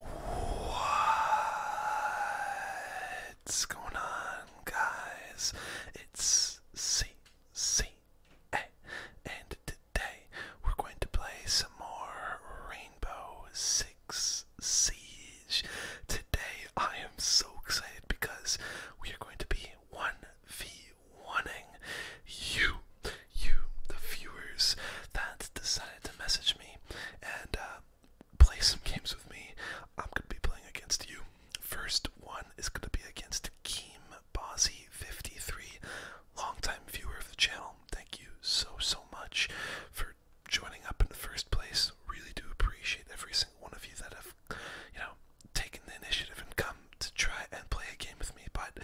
What's going on, guys? It's CCA, and today we're going to play some more Rainbow Six Siege. Today I am so excited because we are going to be one v one you, you, the viewers that decided to message me and uh, play some games with me. I'm gonna be playing against you. First one is gonna be against Kim Bozzy 53, longtime viewer of the channel. Thank you so so much for joining up in the first place. Really do appreciate every single one of you that have, you know, taken the initiative and come to try and play a game with me. But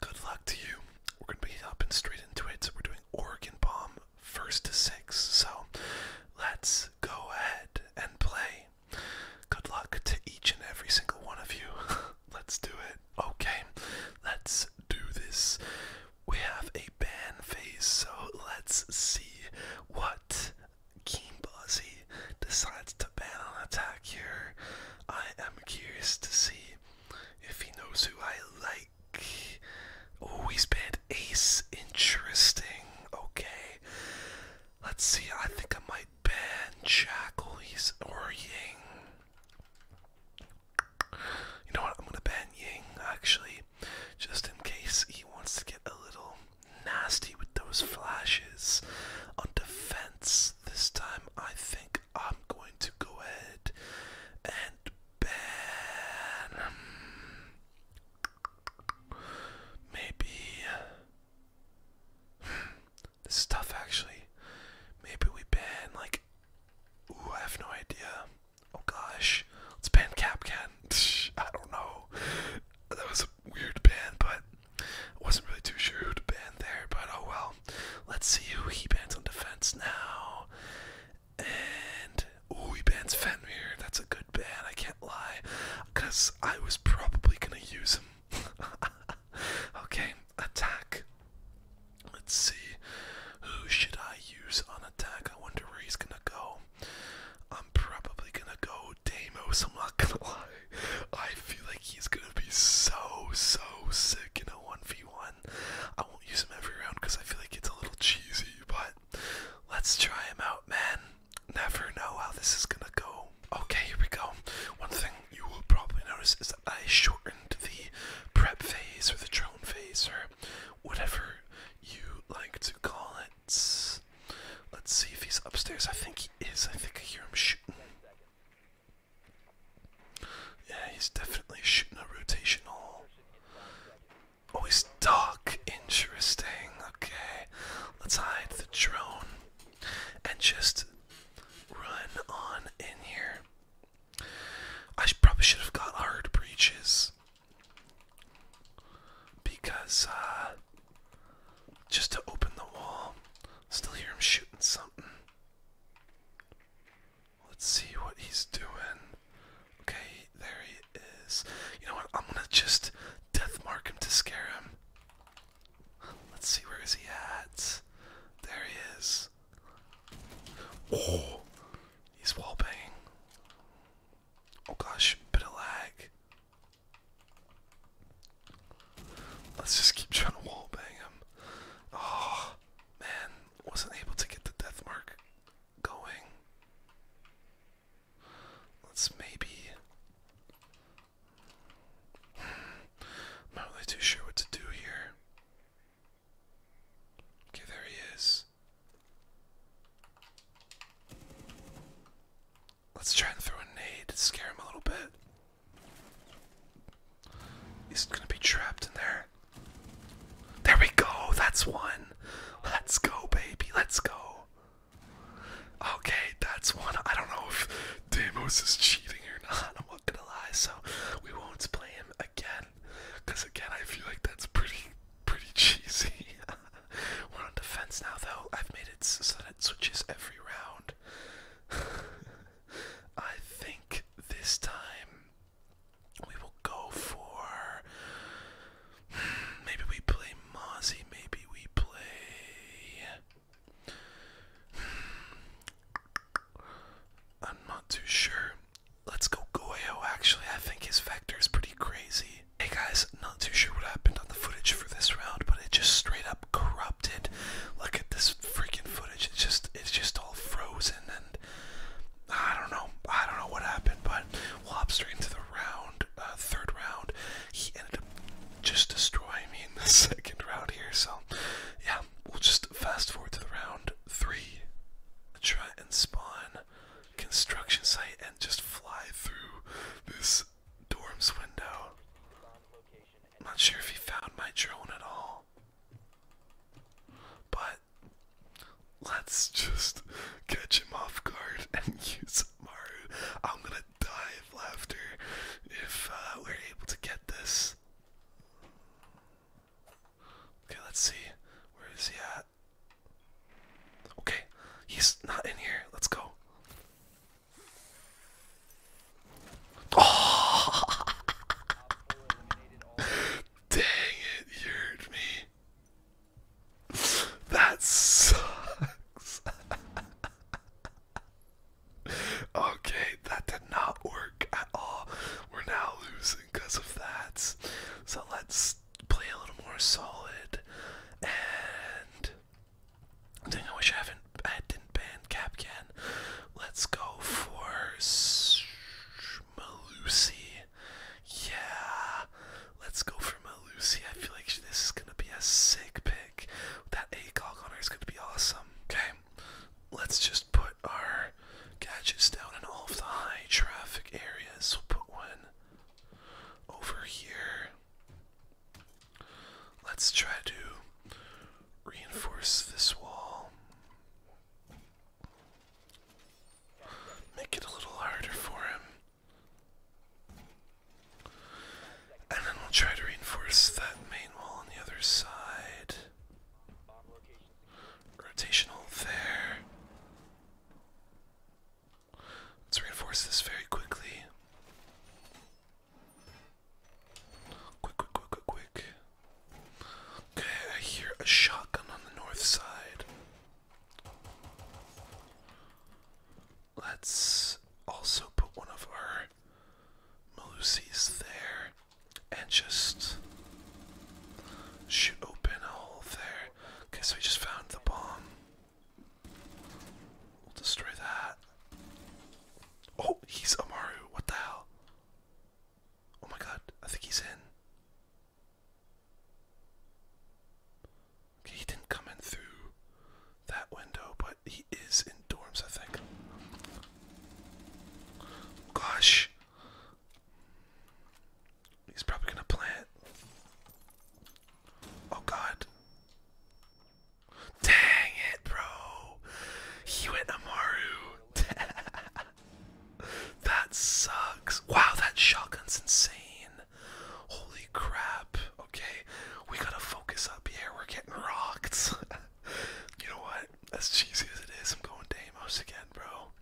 good luck to you. We're gonna be hopping straight into it. So we're doing Oregon Bomb first to six. So let's go ahead and play. Good luck to each and every single one of you. let's do it. Okay, let's do this. We have a ban phase, so let's see what Keem Bozzy decides to ban on attack here. I am curious to see if he knows who I like always been ace. Interesting. Okay. Let's see. I think I might ban Jackal. He's or You know what? I'm gonna ban Ying actually, just in case he wants to get a little nasty with those flashes on defense. This time, I think I'm going to go ahead and been maybe hmm, this is tough actually. Maybe we ban like ooh, I have no idea. Oh gosh. Let's ban Capcan. I don't know. That was a weird ban, but I wasn't really too sure who to ban there, but oh well. Let's see who he bans on defense now. And ooh, bans Fenrir. That's a good ban. I can't lie, cause I was probably gonna use him. okay, attack. Let's see. Who should I use on attack? I wonder where he's gonna go. I'm probably gonna go Damos. I'm not gonna lie. I feel like he's gonna be so so sick in a one v one. I won't use them every round because I feel like it's a little cheesy, but let's try them out, man. Never know how this is gonna go. Okay, here we go. One thing you will probably notice is that I shortened the prep phase or the drone phase or whatever you like to call it. Let's see if he's upstairs. I think he is. I think I hear him shooting. Yeah, he's definitely shooting a rotational. Oh, he's dark. Interesting. Okay. Let's hide the drone and just run on in here. I probably should have got hard breaches because uh, just to open the wall, still hear him shooting something. Let's see what he's doing. Okay, there he is. You know what? I'm gonna just death mark him to scare him. Let's see where is he at. There he is. Oh, he's wall banging. Oh gosh, bit of lag. Let's just keep trying to wall bang him. Oh man, wasn't able to get the death mark going. Let's maybe. I'm not really too sure what to do here. Okay, there he is. Let's try and throw a nade to scare him a little bit. He's gonna be trapped in there. There we go. That's one. Let's go, baby. Let's go. Okay, that's one. I don't know if Damo's is cheating or not. I'm not gonna lie. So we won't play him again. Cause again, I feel like that's pretty, pretty cheesy. We're on defense now, though. I've made it so that it switches every round. I think this time we will go for. Maybe we play Mozzie. Maybe we play. I'm not too sure. Let's go Goyo, actually. I think his vector is pretty crazy. Hey guys, not too sure what happened on the footage for this round, but it just straight up corrupted. Look at this freaking footage. It's just it's just all frozen and I don't know. I don't know what happened, but we'll hop straight into the round, uh, third round. He ended up just destroying me in the second round here. So, yeah, we'll just fast forward to the round three. Try and spawn construction site and just fly through this dorm's window. not sure if he found my drone at all. But Let's just catch him off guard and use Maru. I'm gonna die of laughter if uh, we're able to get this. Okay, let's see. Where is he at? Okay, he's not in here. Let's go. Dang it, you heard me. that sucks. okay, that did not work at all. We're now losing because of that. So let's play a little more solid. And dang, I wish I haven't. I didn't ban Capcan. Let's go for Malusi. Yeah. Let's go for Malusi. I feel like this is gonna be a sick pick. That ACOG on her is gonna be awesome. Okay. Let's just put our gadgets down in all of the high traffic areas. So put one over here. Let's try to reinforce this wall. Make it a little harder for him. And then we'll try to reinforce that main wall on the other side. Rotational there. Let's reinforce this very quickly. Quick, quick, quick, quick, quick. Okay, I hear a shotgun on the north side. Let's also put one of our Malusis there and just shoot open a hole there. Okay, so we just found the bomb. We'll destroy that. Oh, he's Amaru. What the hell? Oh my god, I think he's in he didn't come in through that window, but he is in dorms, I think. Gosh. He's probably gonna plant. Oh god. Dang it, bro. He went Amaru. That sucks. Wow, that shotgun's insane. Holy crap. Okay, we gotta focus up here. We're getting rocked. you know what? As cheesy as it is, I'm going to Amos again, bro.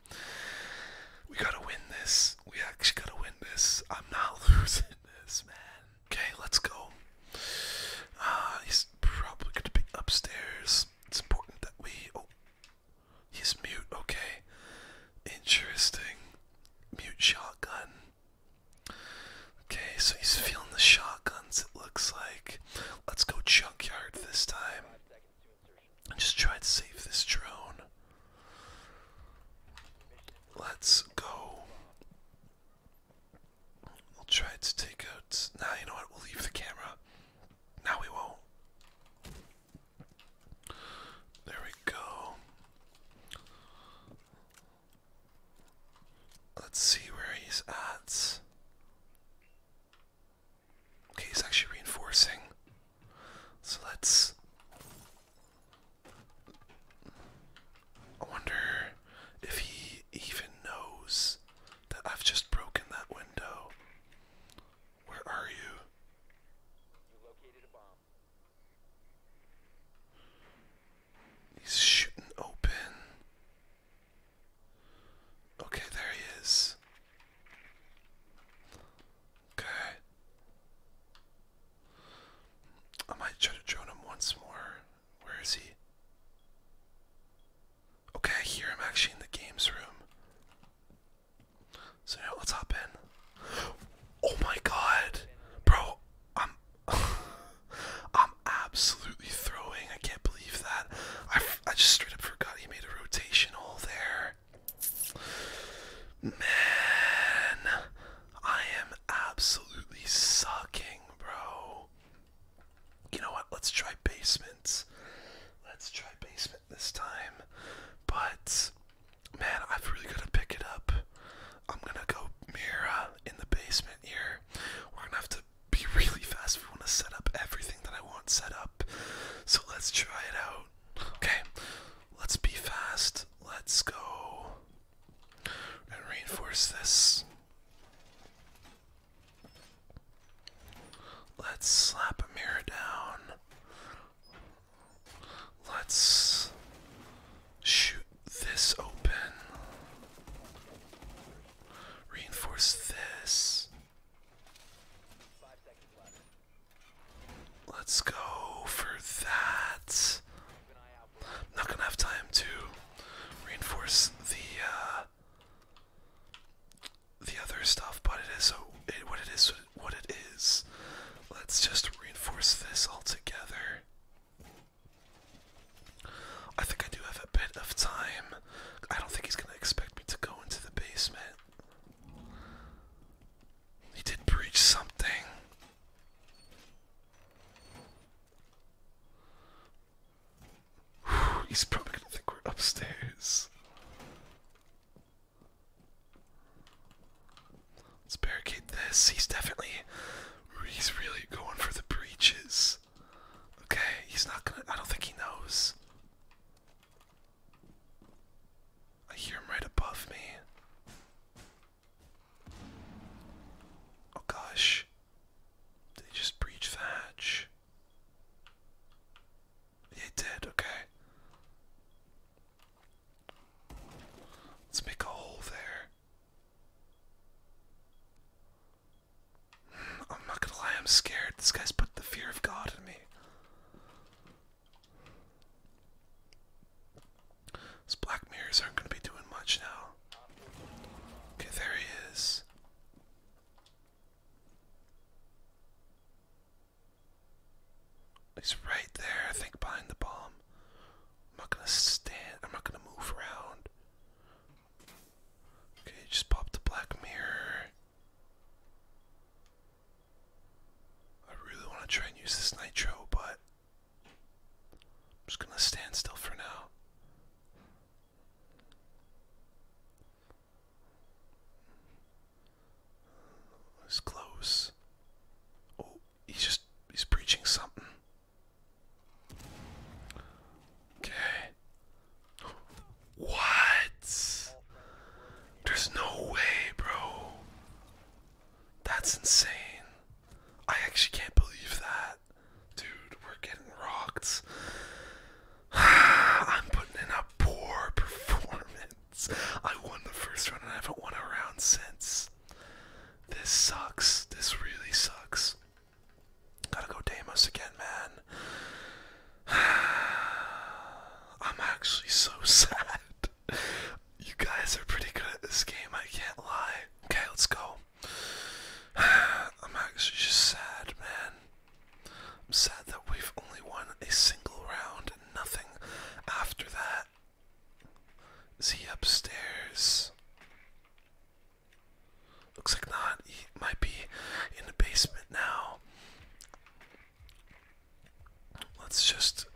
We gotta win this. We actually gotta win this. I'm not losing this, man. Okay, let's go. Uh, he's probably gonna be upstairs. It's important that we. Oh, He's mute, okay. Interesting. Mute shotgun. Okay, so he's feeling the shotguns, it looks like. Let's go junkyard this time. And just try to save this drone. Let's go. We'll try to take out. Now, you know what? We'll leave the camera. Now we won't. There we go. Let's see where he's at. Okay, he's actually reinforcing. So let's. I wonder if he even knows that I've just broken that window. Where are you? He's shooting open. Okay, there he is. Okay. I might try to drone him once more. Where is he? Okay, I am actually in the games room. So yeah, let Oh my god, bro! I'm, I'm absolutely throwing. I can't believe that. I, I just straight up forgot he made a rotational there. Man, I am absolutely sucking, bro. You know what? Let's try basements. Let's try basements this time. But man, I've really got to pick it up. I'm gonna go Mira in the basement here. We're gonna have to be really fast if we want to set up everything that I want set up. So let's try it out. Okay, let's be fast. Let's go and reinforce this. Let's slap a mirror down. Let's shoot this open. Reinforce this. Let's go for that. not gonna have time to reinforce the uh, the other stuff, but it is what it is what it is. Let's just reinforce this all together. I think I do have a bit of time. I don't think he's gonna expect me to go into the basement. He did breach something. he's probably gonna think we're upstairs. Let's barricade this. He's definitely he's really going for the breaches. Okay, he's not gonna I don't think he knows. I hear him right above me. Oh gosh. They just breached the hatch? They did, okay. Let's make a hole there. I'm not gonna lie, I'm scared. This guy's put the fear of God in me. Those black mirrors aren't gonna be doing much now. Okay, there he is. He's right there, I think, behind the bomb. I'm not gonna stand, I'm not gonna move around. Okay, just pop the black mirror. I really wanna try and use this nitro, but I'm just gonna stand still for now. It was close. Oh, he's just he's preaching something. Okay. What? There's no way, bro. That's insane. I actually can't believe that. Dude, we're getting rocked. I'm putting in a poor performance. I won the first round and I haven't won a round since. This sucks. This really sucks. Gotta go Deimos again, man. I'm actually so sad. You guys are pretty good at this game, I can't lie. Okay, let's go. I'm actually just sad, man. I'm sad that we've only won a single round and nothing after that. Is he upstairs? Looks like not. He might be in the basement now. Let's just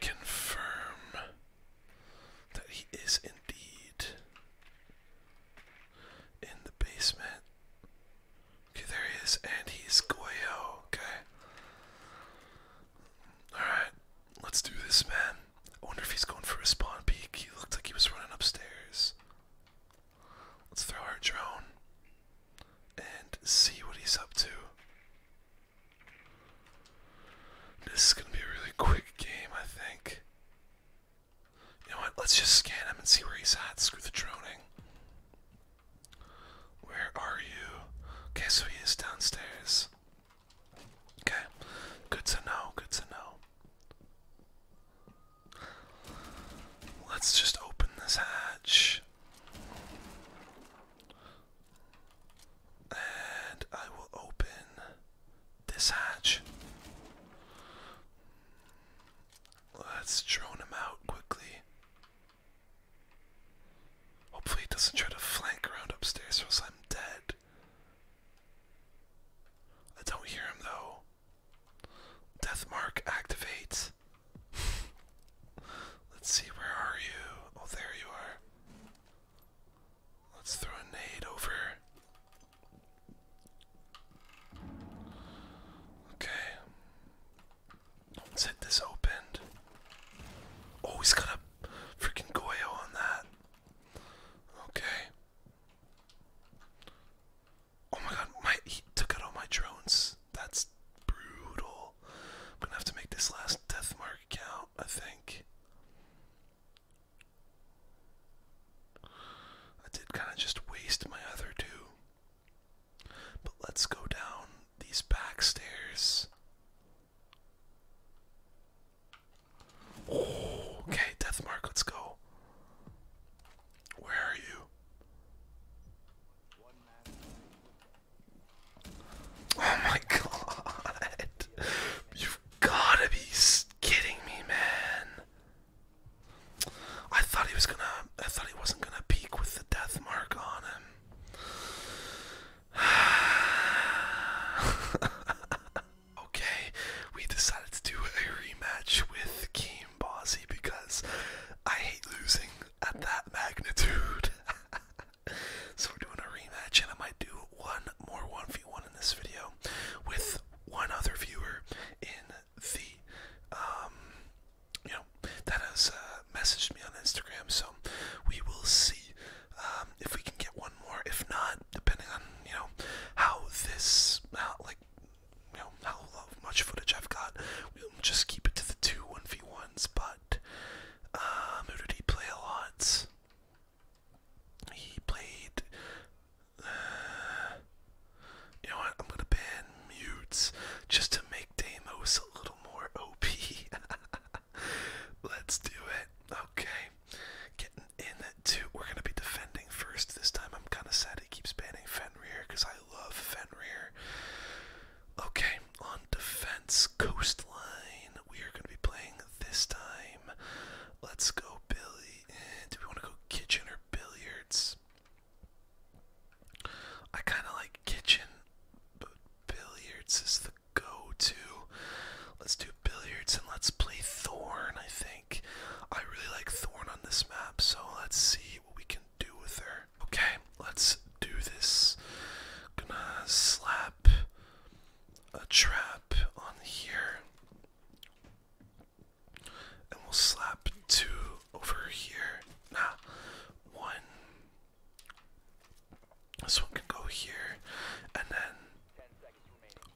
confirm that he is indeed in the basement. Okay, there he is, and he's Goyo. Okay. Alright, let's do this, man. I wonder if he's going for a spawn peek. He looked like he was running upstairs. Let's throw our drone and see what he's up to. This is gonna be a really quick game, I think. You know what? Let's just scan him and see where he's at. Screw the droning. Where are you? Okay, so he is downstairs. Okay, good to know, good to know. Let's just open this hatch. And I will open this hatch. Let's drone him out quickly. Hopefully he doesn't try to flank around upstairs or else I'm dead. I don't hear him though. Death mark activates. Let's see, where are you? Oh, there you are. Let's throw a nade over. Okay. Let's hit this opened. Oh, he's got a freaking Goyo on that. Okay. Oh my god, my he took out all my drones. That's brutal. I'm gonna have to make this last death mark count, I think. I did kind of just waste my other two. But let's go down these back stairs. Oh, okay, Mark, let's go. Where are you? Oh my god. You've gotta be kidding me, man. I thought he was gonna, I thought he wasn't gonna peak with the death mark on him. okay, we decided to do a rematch with Game Bossy because I hate losing at that magnitude. so we're doing a rematch, and I might do one more 1v1 in this video with one other viewer in the um you know that has uh, messaged me on Instagram so we will see um, if we can get one more. If not, depending on you know how this, how, like you know how much footage I've got, we'll just keep it to the two one v ones. But um, who did he play a lot? He played. Uh, you know what? I'm gonna ban mutes just to make Deimos a little more OP. Let's do it. Okay. Getting in to we're gonna be defending first this time. I'm kinda sad he keeps banning Fenrir because I love Fenrir. Okay, on defense coastline, we are gonna be playing this time. Let's go Billy. Do we wanna go kitchen or billiards? I kinda like kitchen, but billiards is the go to. Let's do billiards and let's play Thorn, I think. I really like Thorn on this map, so let's see what we can do with her. Okay, let's do this. Gonna slap a trap on here. And we'll slap two over here. Nah, one, this one can go here, and then.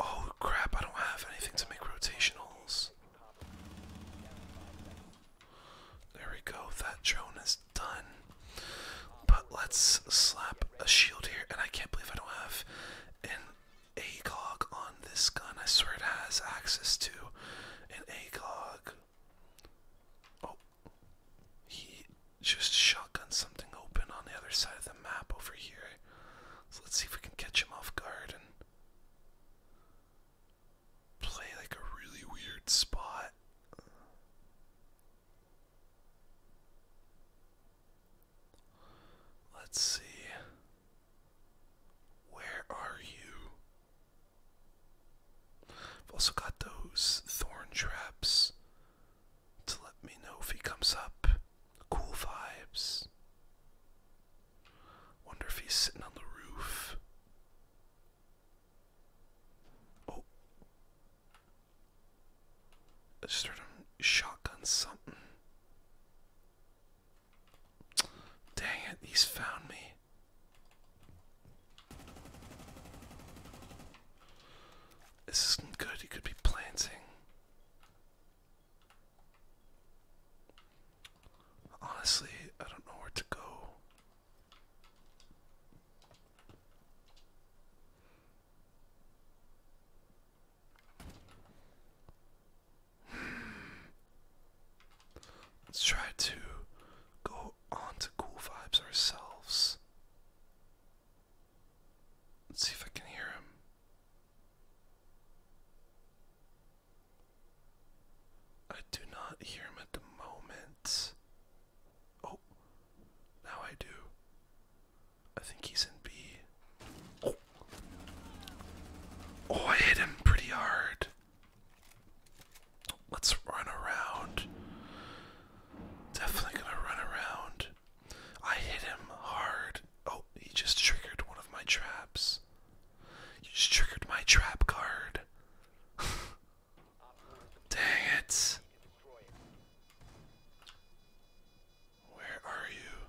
Oh crap! I don't have anything to make rotationals. There we go. That drone is done. But let's slap a shield here, and I can't believe I don't have an ACOG on this gun. I swear it has access to an ACOG. Oh, he just shotgunned something open on the other side of the map over here. So let's see if we can catch him off guard and play like a really weird spot. Let's see. Where are you? I've also got those thorn traps to let me know if he comes up. Cool vibes. Wonder if he's sitting on the roof. Oh. I just shotgun something. Dang it, he's found me. This isn't good. He could be planting. Honestly, I don't know where to go. Hmm. Let's try to go on to cool vibes ourselves. Let's see if I can hear him. I do not hear him at the moment. Oh, now I do. I think he's in B. Oh, oh I hit him pretty hard. Let's run around. Definitely gonna run around. I hit him hard. Oh, he just triggered one of my traps. You just triggered my trap card. Dang it. Where are you?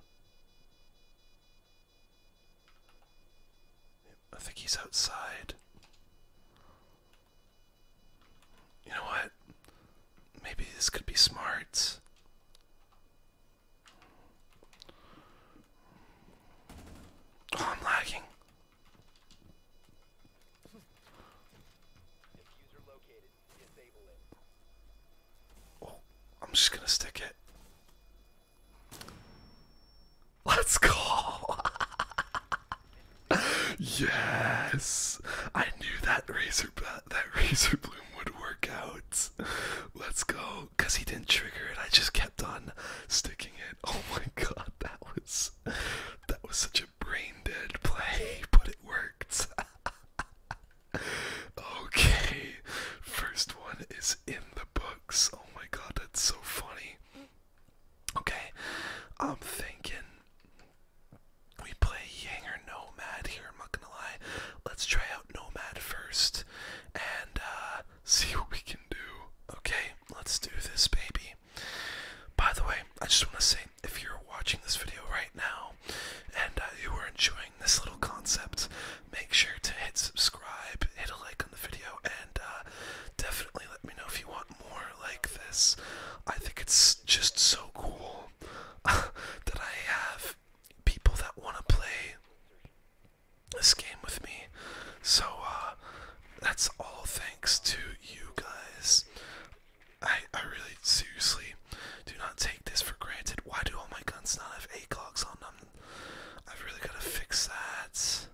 I think he's outside. You know what? Maybe this could be smart. Oh, I'm lagging. Oh, I'm just gonna stick it. Let's go. yes, I knew that razor that razor bloom would work out. Let's go, cause he didn't trigger it. I just kept on sticking it. Oh my god, that was that was such a brain dead play, but it worked. okay, first one is in the books. Oh my god, that's so funny. Okay, I'm thinking. We play Yang Nomad here, I'm not gonna lie. Let's try out Nomad first and uh, see what we can do. Okay, let's do this, baby. By the way, I just want to say if you're watching this video right now and uh, you are enjoying this little concept, make sure to hit subscribe, hit a like on the video, and uh, definitely let me know if you want more like this. I think it's just so cool that I have people that want to play this game with me. So, uh, that's all thanks to you guys. I, I really seriously do not take this for granted. Why do all my guns not have eight clocks on them? I've really got to fix that.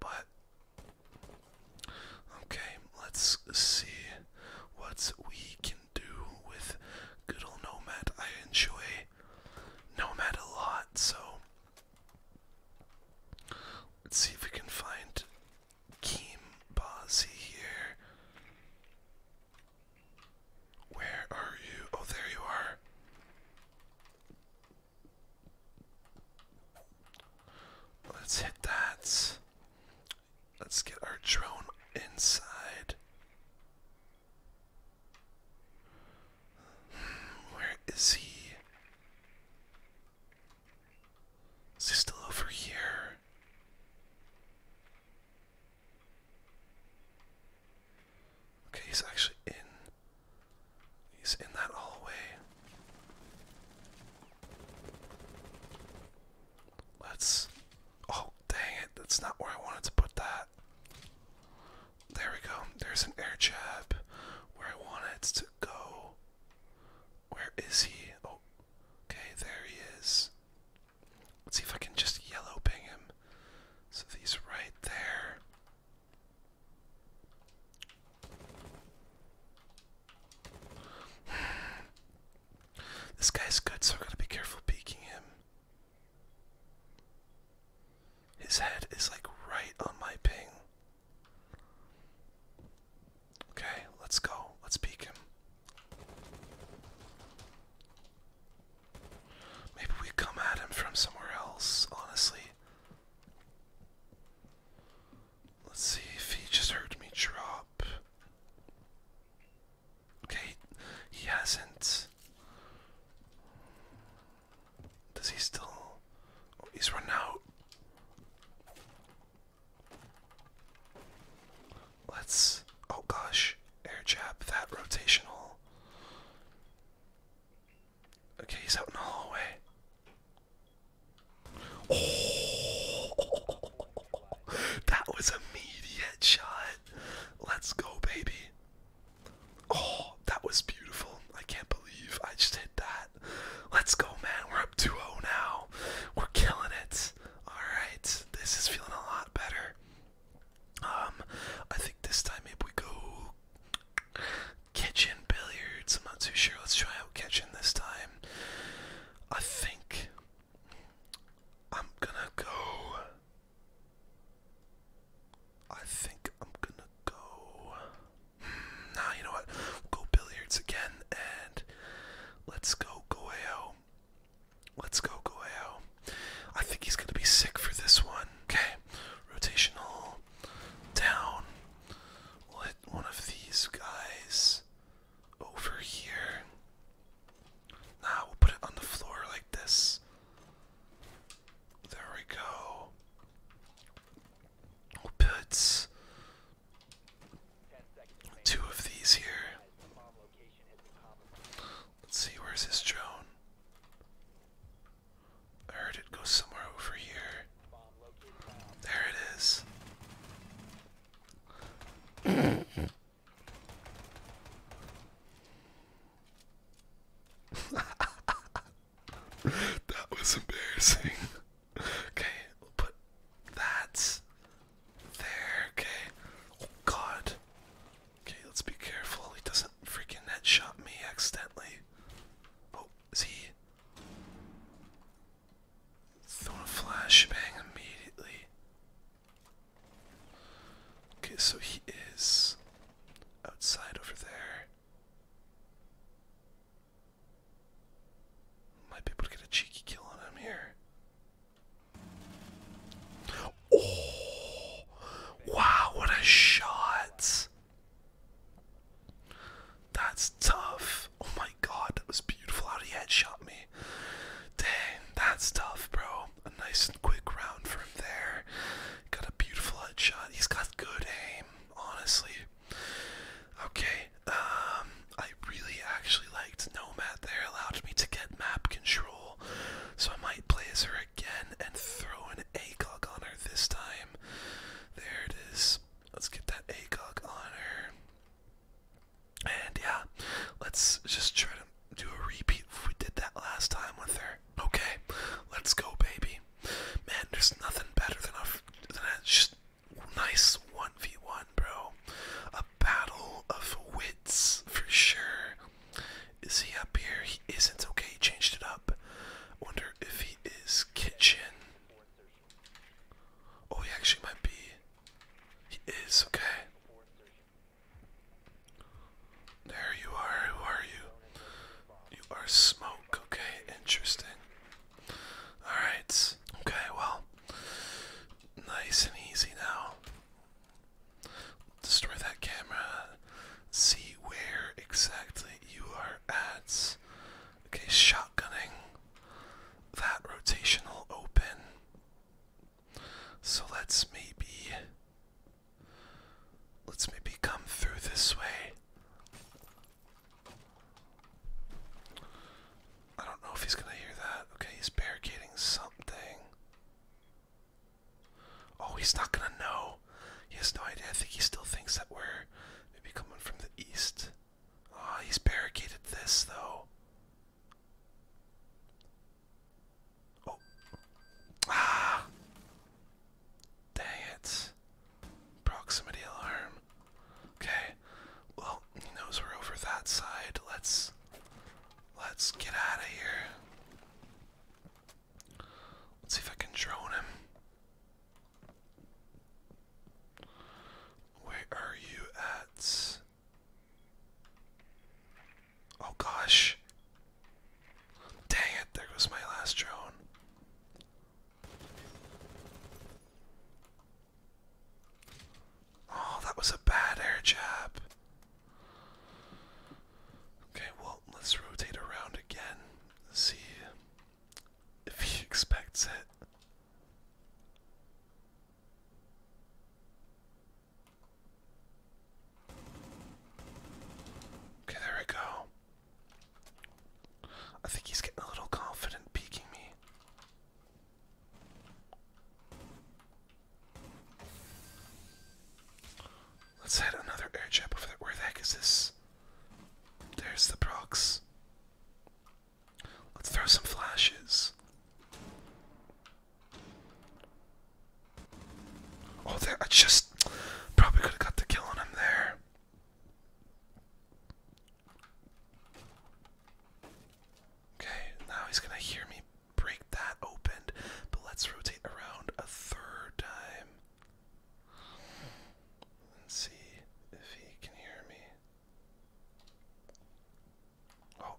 But Okay, let's see what we can do with good old Nomad. I enjoy Nomad a lot, so let's see if we can find Kimbazi here. Where are you? Oh, there you are. Let's hit that. Let's get our drone inside. Where is he? Is he still over here? Okay, he's actually in. He's in that hallway. Let's. Oh, dang it. That's not where I wanted to put that. There we go. There's an air jab where I wanted to go. Where is he? Oh, okay. There he is. Let's see if I can just yellow ping him. So he's right there. This guy's good, so I are gonna be careful peeking him. His head is like right on my ping. Okay, let's go. Let's peek him. Maybe we come at him from somewhere else, honestly. Let's see if he just heard me drop. Okay, he hasn't. Does he still? Oh, he's run out. Let's. Oh gosh, air jab that rotational. Okay, he's out in the hallway. Oh! that was immediate shot. Let's go, baby. Oh, that was beautiful. I can't believe I just hit that. Let's go, man. We're up 2-0 now. We're killing it. Alright. This is feeling a lot better. Um, I think this time maybe we go kitchen billiards. I'm not too sure. Let's try out kitchen this time. I think I'm gonna go. I think I'm gonna go. Hmm, nah, you know what? go billiards again and let's go Goeo. Let's go Goeo. I think he's gonna be sick for this one. Okay, rotational down. We'll hit one of these guys over here. Now we'll put it on the floor like this. There we go. We'll put two of these here. Let's see, where's his drone? I heard it go somewhere over here. There it is. that was embarrassing. Okay, we'll put that there. Okay. Oh, god. Okay, let's be careful. He doesn't freaking headshot me accidentally. Oh, is he? Throwing a flashbang immediately. Okay, so he is outside over there. Might be able to get a cheeky kill on him here. Oh! Wow, what a shot! That's tough. Oh my god, that was beautiful how he headshot me. Dang, that's tough, bro. A nice and quick round from there. Got a beautiful headshot. He's got good aim, honestly. Okay, um, I really actually liked Nomad there. Allowed me to get map control. So I might play as her again and throw an ACOG on her this time. There it is. Let's get that ACOG on her. And yeah, let's just try to do a repeat if we did that last time with her. Okay, let's go, baby. Man, there's nothing better than a, just nice 1v1, bro. A battle of wits, for sure. Is he up here? He isn't. Okay, he changed it up. Wonder if he is kitchen. Oh, he actually might be. He is okay. There you are. Who are you? You are smoke. Okay, interesting. Alright. Okay, well. Nice and easy now. Destroy that camera. See where exactly you are at. Okay, shotgunning. That rotational open. So let's maybe let's maybe come through this way. I don't know if he's gonna hear that. Okay, he's barricading something. Oh, he's not gonna know. He has no idea. I think he still thinks that we're maybe coming from the east. Ah, he's barricaded this though. Oh. Ah. Dang it. Proximity alarm. Okay. Well, he knows we're over that side. Let's let's get out of here. Let's see if I can drone him. Where are you at? Oh gosh. Dang it, there goes my last drone. Oh, that was a bad air jab. Okay, well, let's rotate around again. See if he expects it. Okay, there we go. I think he's getting a little confident peeking me. Let's head another air over there. Where the heck is this? There's the Brox. Let's throw some flashes. Oh, there, I just probably could have got the kill on him there. Okay, now he's gonna hear me break that open, but let's rotate around a third time. let see if he can hear me. Oh.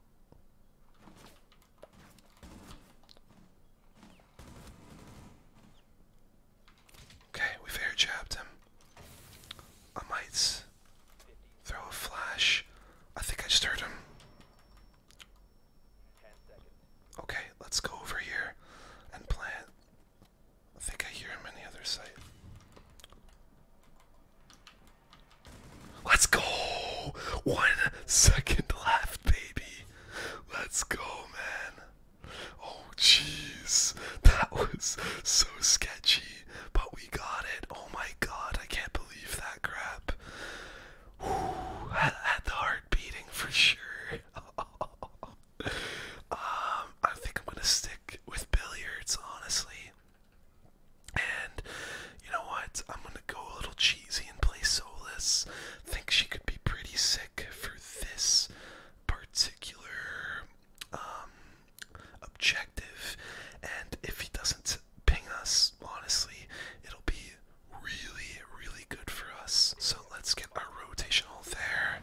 Okay, we fair trapped him. I might throw a flash. I think I just heard him. Okay, let's go over here and plant. I think I hear him on the other side. Let's go. One second left, baby. Let's go, man. Oh, jeez. That was so sketchy, but we got it. Oh my god, I can't believe that crap. Ooh, had, had the heart beating for sure. um, I think I'm gonna stick with billiards, honestly. And you know what? I'm gonna go a little cheesy and play Solus. Think she could be pretty sick for this particular um, objective. And if he doesn't ping us, honestly, it'll be really, really good for us. So let's get our rotational there.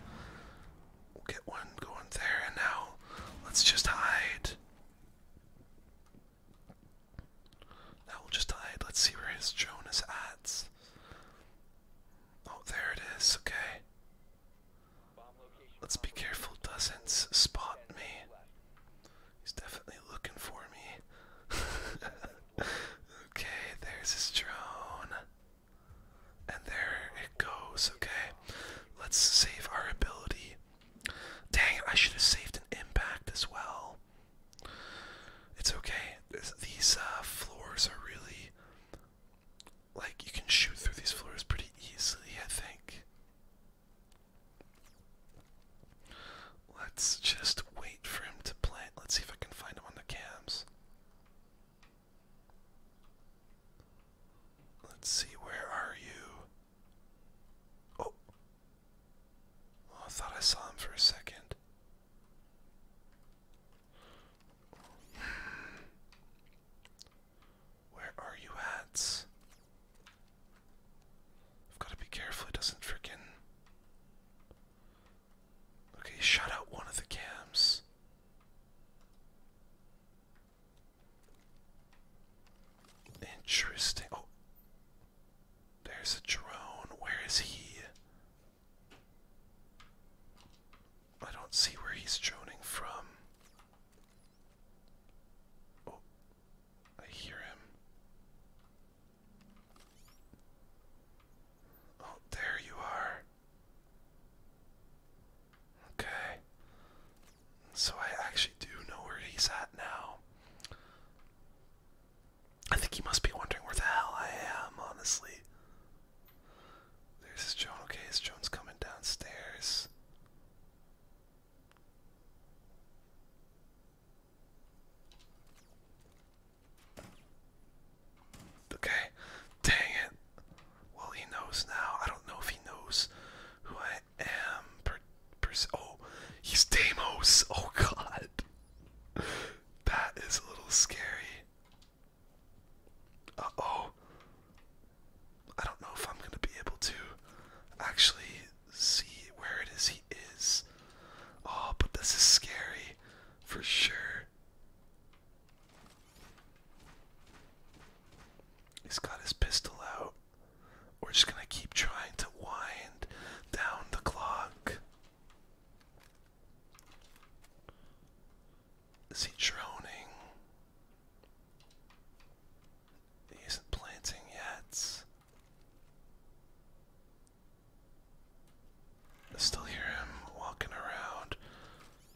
We'll get one going there, and now let's just hide. Now will just hide. Let's see where his drone is at. Oh, there it is. Okay. Let's be careful. Doesn't spot me. He's definitely looking for me. okay, there's his drone. And there it goes. Okay. Let's save our ability Dang, I should have saved an impact as well. It's okay. These uh, floors are really. Like, you can shoot through these floors pretty easily, I think. Let's just wait for him to plant. Let's see if I can find him on the cams. Let's see, where are you? Oh, Oh, I thought I saw him for a second. Where are you at? I've got to be careful it doesn't freaking. Okay, shut out one of the cams. Interesting. Oh. There's a drone. Where is he? I don't see where he's droning from. Oh, I hear him. Oh, there you are. Okay. So I actually do know where he's at now. I think he must be wondering where the hell I am, honestly. There's his Joan. Okay, his Joan's coming downstairs? Okay, dang it. Well, he knows now. I don't know if he knows who I am per, per oh he's Deimos. Oh god. That is a little scary. Uh-oh. I don't know if I'm gonna be able to actually see where it is he is. Oh, but this is scary for sure. He's got his pistol out. We're just gonna keep trying to wind down the clock. Is he droning? He isn't planting yet. I still hear him walking around.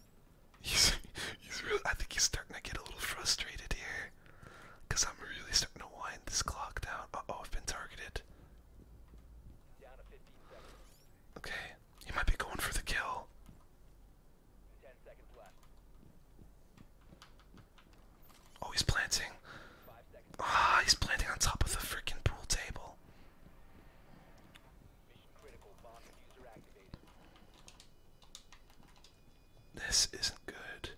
He's, he's really, I think he's starting to get a little frustrated here. Because I'm really starting to wind this clock down. oh, I've been targeted. Okay, he might be going for the kill. Oh, planting. Ah, he's planting on top of the freaking pool table. This isn't good.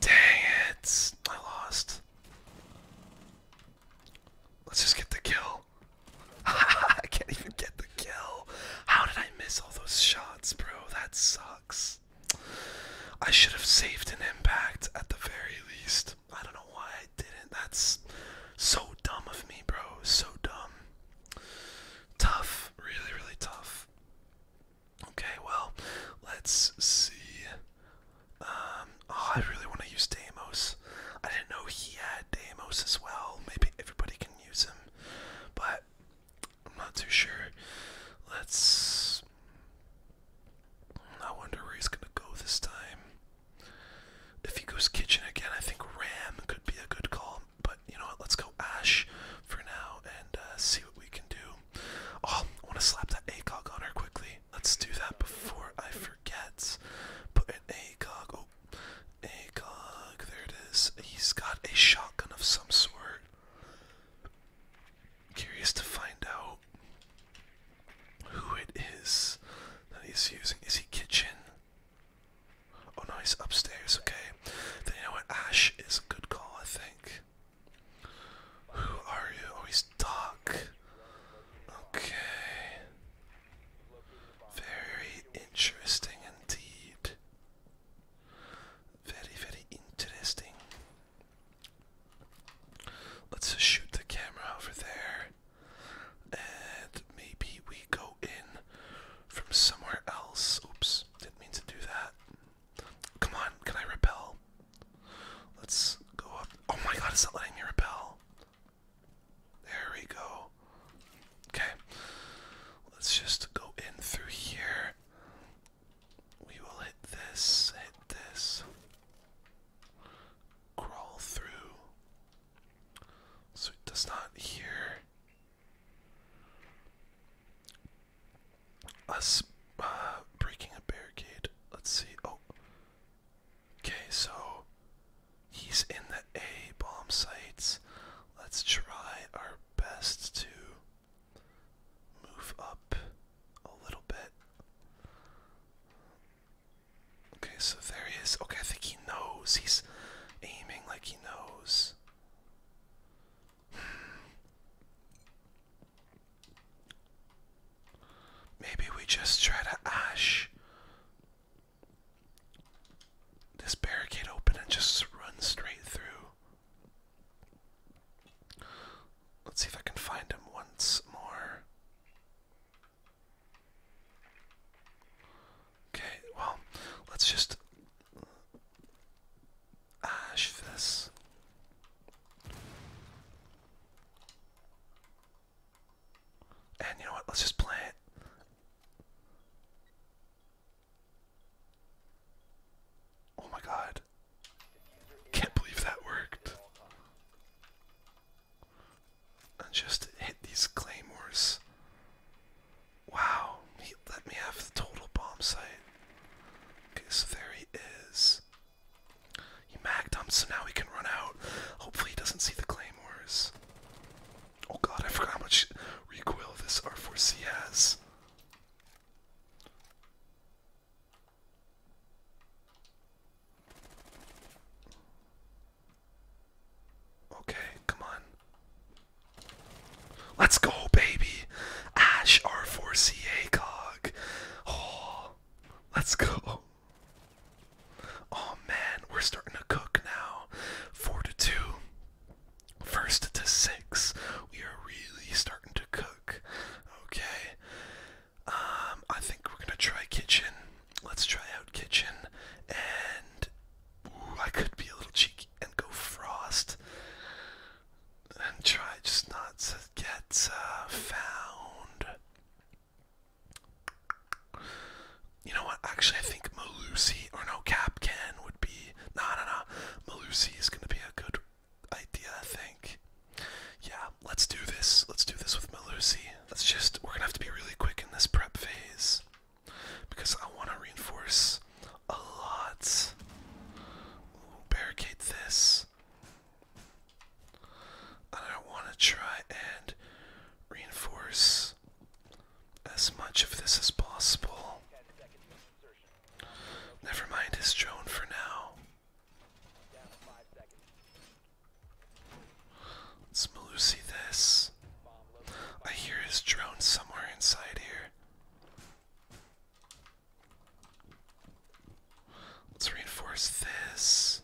Dang it! I lost. Let's just get the kill. I can't even get the kill. How did I miss all those shots, bro? That sucks. I should have saved an impact at the very least. I don't know why I didn't. That's so dumb of me, bro. So dumb. Tough. Really, really tough. Okay, well, let's see. Um, oh, I really want to use Damos. I didn't know he had Damos as well. Maybe everybody can use him, but I'm not too sure. Let's. I wonder where he's gonna go this time. If he goes kitchen again, I think Ram could be a good call, um, but you know what? Let's go Ash for now and uh, see what we can do. Oh, I want to slap that ACOG on her quickly. Let's do that before I forget. Put an ACOG. Oh, ACOG. There it is. He's got a shotgun of some sort. Curious to find out who it is that he's using. Is he kitchen? Oh no, he's upstairs, okay. Then you know what? Ash is a good call, I think. Who are you? Oh, he's Doc. Okay. Very interesting indeed. Very, very interesting. Let's shoot the camera over there. And maybe we go in from somewhere else. Oops, didn't mean to do that. Come on, can I repel? Let's go up. Oh my god, it's not letting me repel. There we go. Okay. Let's just go in through here. We will hit this, hit this. Crawl through. So it does not hear us uh, breaking a barricade. Let's see. Oh, okay. So he's in the A bomb sites. Let's try our best to move up a little bit. Okay, so there he is. Okay, I think he knows. He's aiming like he knows. Maybe we just try to ash this barricade open and just run straight through. Let's see if I can find him once more. Okay, well, let's just ash for And you know what? Let's just play it. Oh my god. Can't believe that worked. I just hit these claymores. Wow, he let me have the total bomb site. Okay, so there he is. He magged him, so now he can run out. Hopefully he doesn't see the claymores. Oh god, I forgot how much recoil this R4C has. Okay, come on. Let's go, baby. Ash R4CA cog. Oh, let's go. Oh man, we're starting to cook now. Four to two. First to six. We are really starting to cook. Okay. Um, I think we're gonna try kitchen. Let's try out kitchen. And I could be a little cheeky and go frost and try just not to get uh, found. You know what? Actually, I think Malusi or no Capcan would be no, no, no. Malusi is gonna be a good idea, I think. Yeah, let's do this. Let's do this with Malusi. Let's just we're gonna have to be really quick in this prep phase because I want to reinforce a lot. barricade this. And I want to try and reinforce as much of this as possible. Never mind his drone for now. Let's Malusi this. I hear his drone somewhere inside here. Let's reinforce this.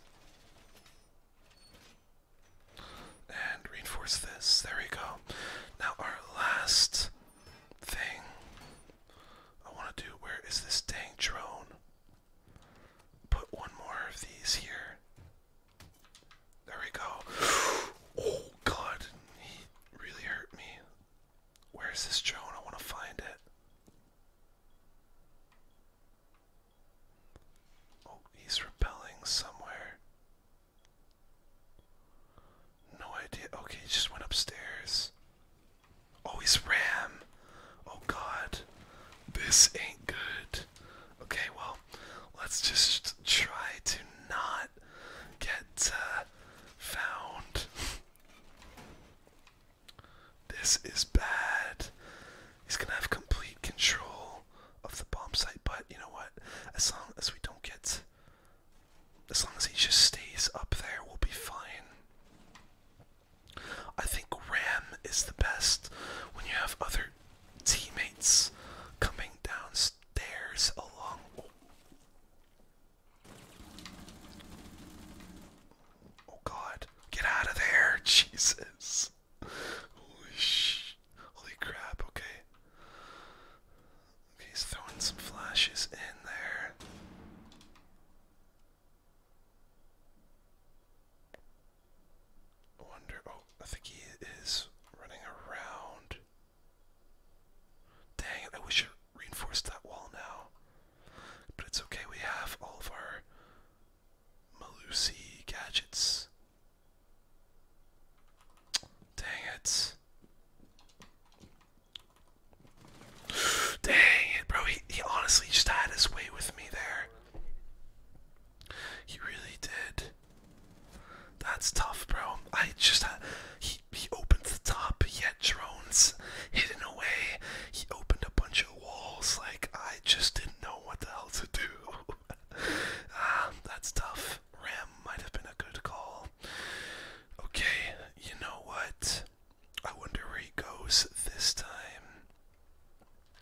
And reinforce this. There we go. Now, our last thing I want to do where is this dang drone? Put one more of these here. There we go. Oh, God. He really hurt me. Where's this drone? I want to find it. Oh, he's repelling somewhere. No idea. Okay, he just went upstairs. Oh, he's Ram. Oh, God. This ain't good. Okay, well, let's just try to not get uh, found. This is bad. He's gonna have complete control of the bomb site, but you know what? As long as we don't get as long as he just stays up there, we'll be fine. I think Ram is the best when you have other teammates coming downstairs along. Oh god, get out of there, Jesus. Holy crap, Okay, he's throwing some flashes in there. I wonder, oh, I think he is running around. Dang it, I wish it reinforced that wall now. But it's okay, we have all of our Malusi gadgets. Dang it. Dang it, bro. He, he honestly just had his way with me there. He really did. That's tough, bro. I just He, he, he opened the top. He drones hidden away. He opened a bunch of walls. Like I just didn't know what the hell to do. ah, that's tough. Ram might have been a good call. Okay, you know what? I wonder where he goes this time.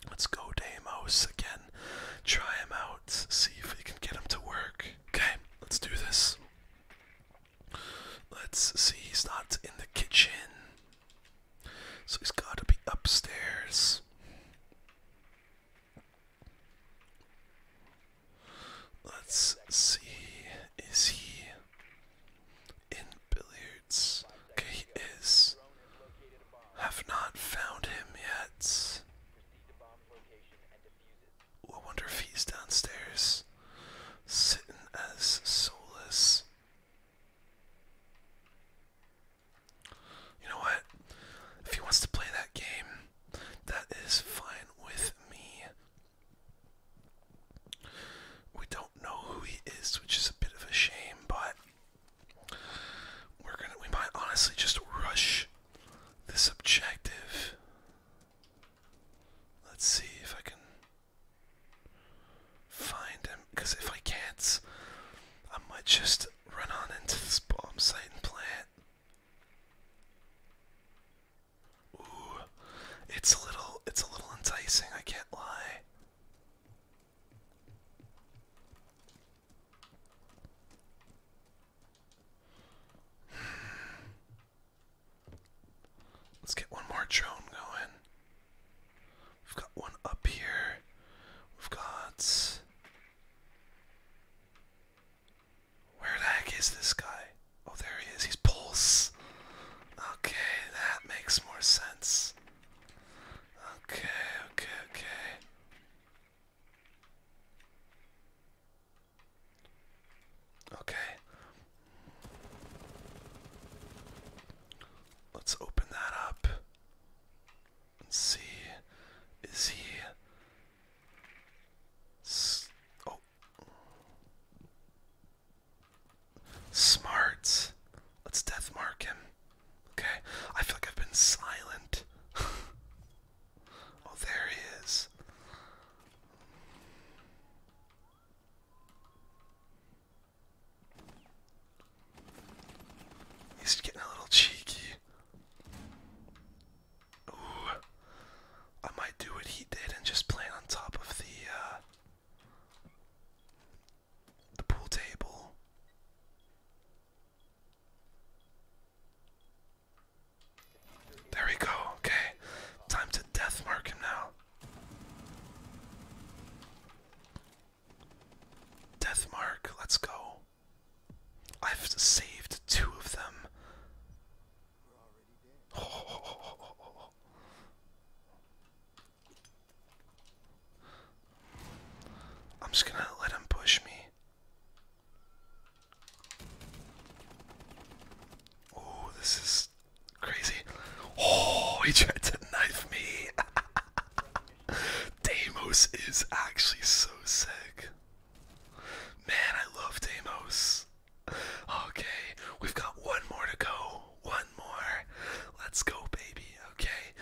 Let's go Deimos again. Try him out. See if we can get him to work. Okay, let's do this. Let's see, he's not in the kitchen. So he's got to be upstairs. Let's see, is he in billiards? Okay, he is. Have not found him yet. I wonder if he's downstairs, sitting as soulless. You know what? If he wants to play that game, that is fine with me. We don't know who he is, which is a bit of a shame, but we're gonna we might honestly just rush this objective. Let's see if I can find him. Because if I can't, I might just run on into this bomb site and play it. Ooh, it's a little, it's a little enticing. I can't lie. Hmm. Let's get one more drone going. We've got one up here. We've got. Where the heck is this guy? Oh, there he is. He's Pulse. Okay, that makes more sense. Okay, okay, okay. Okay. Let's open that up and see. Is he. oh. Smart. Let's death mark him. Okay. I feel like I've been silent. oh, there he is. He's getting a little cheeky. Ooh. I might do what he did and just plan on top of the uh, the pool table. There we go. Okay. Time to death mark him now. Deathmark, let's go. I've saved two of them. I'm just gonna let him push me. Oh, this is crazy. Oh, he tried to knife me. Damos is actually so sick. Man, I love Damos. Okay, we've got one more to go. One more. Let's go, baby. Okay,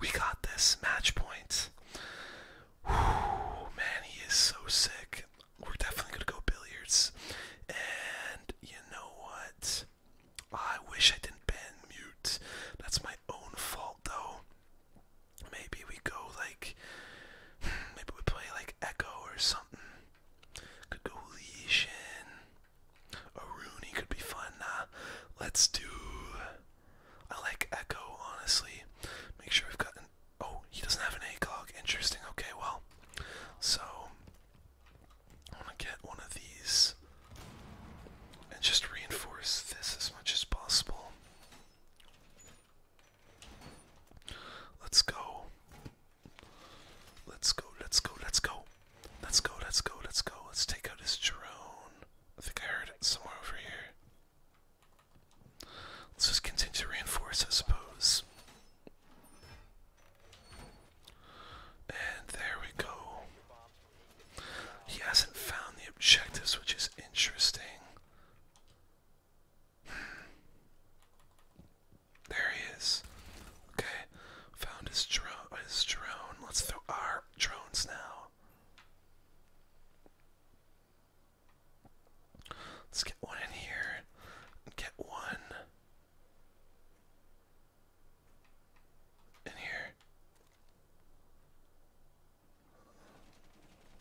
we got this match point. Whew, man, he is so sick we're definitely gonna go billiards. And you know what? I wish I didn't ban mute. That's my own fault though. Maybe we go like hmm, maybe we play like Echo or something. Could go Legion. A Rooney could be fun. let's do I like Echo honestly. Make sure we've got an oh, he doesn't have an ACOG. Interesting, okay, well. So I want to get one of these and just reinforce this as much as possible. Let's go. Let's go, let's go, let's go. Let's go, let's go, let's go. Let's take out his drone. I think I heard it somewhere over here. Let's just continue to reinforce, I suppose. And there we go. He hasn't found the objectives, which is interesting. Hmm. There he is. Okay, found his drone. His drone. Let's throw our drones now. Let's get one in here. Get one in here.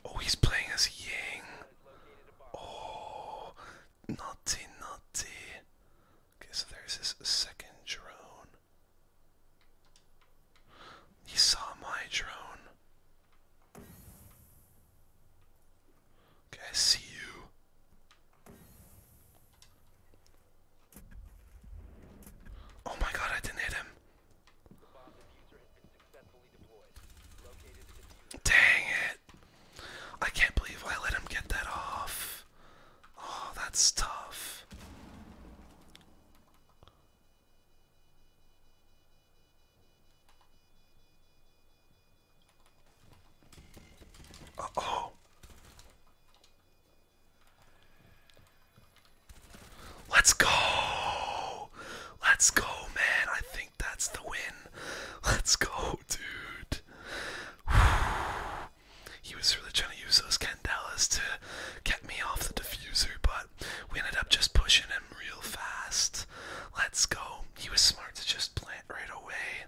Oh, he's playing as Yang. Oh, naughty, naughty. Okay, so there's his second drone. He saw my drone. Okay, I see you. Oh my god, I didn't hit him. Dang it. I can't believe I let him get that off. Oh, that's tough. Uh-oh. Let's go. Let's go, man. I think that's the win. Let's go, dude. he was really trying to use those candelas to get me off the diffuser, but we ended up just pushing him real fast. Let's go. He was smart to just plant right away.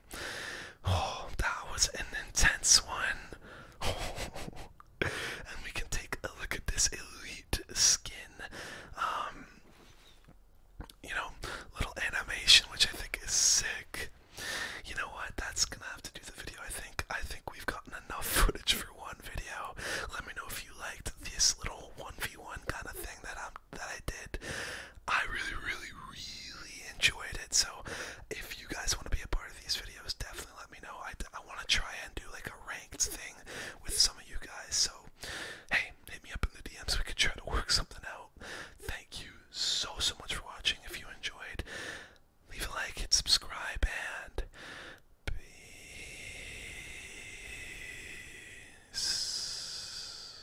Oh, that was an intense one. And we can take a look at this elite skin. Um, you know, little animation, which I think is sick. You know what? That's gonna have to do the video. I think. I think we've gotten enough footage for one video. Let me know if you liked this little one v one kind of thing that I'm um, that I did. I really, really, really enjoyed it. So if you guys want to be a part of these videos, definitely let me know. I, I want to try and do like a ranked thing with some of you guys. So hey, hit me up in the DMs. We could try to work something out. Thank you so, so much for watching. If you enjoyed, leave a like, hit subscribe, and peace.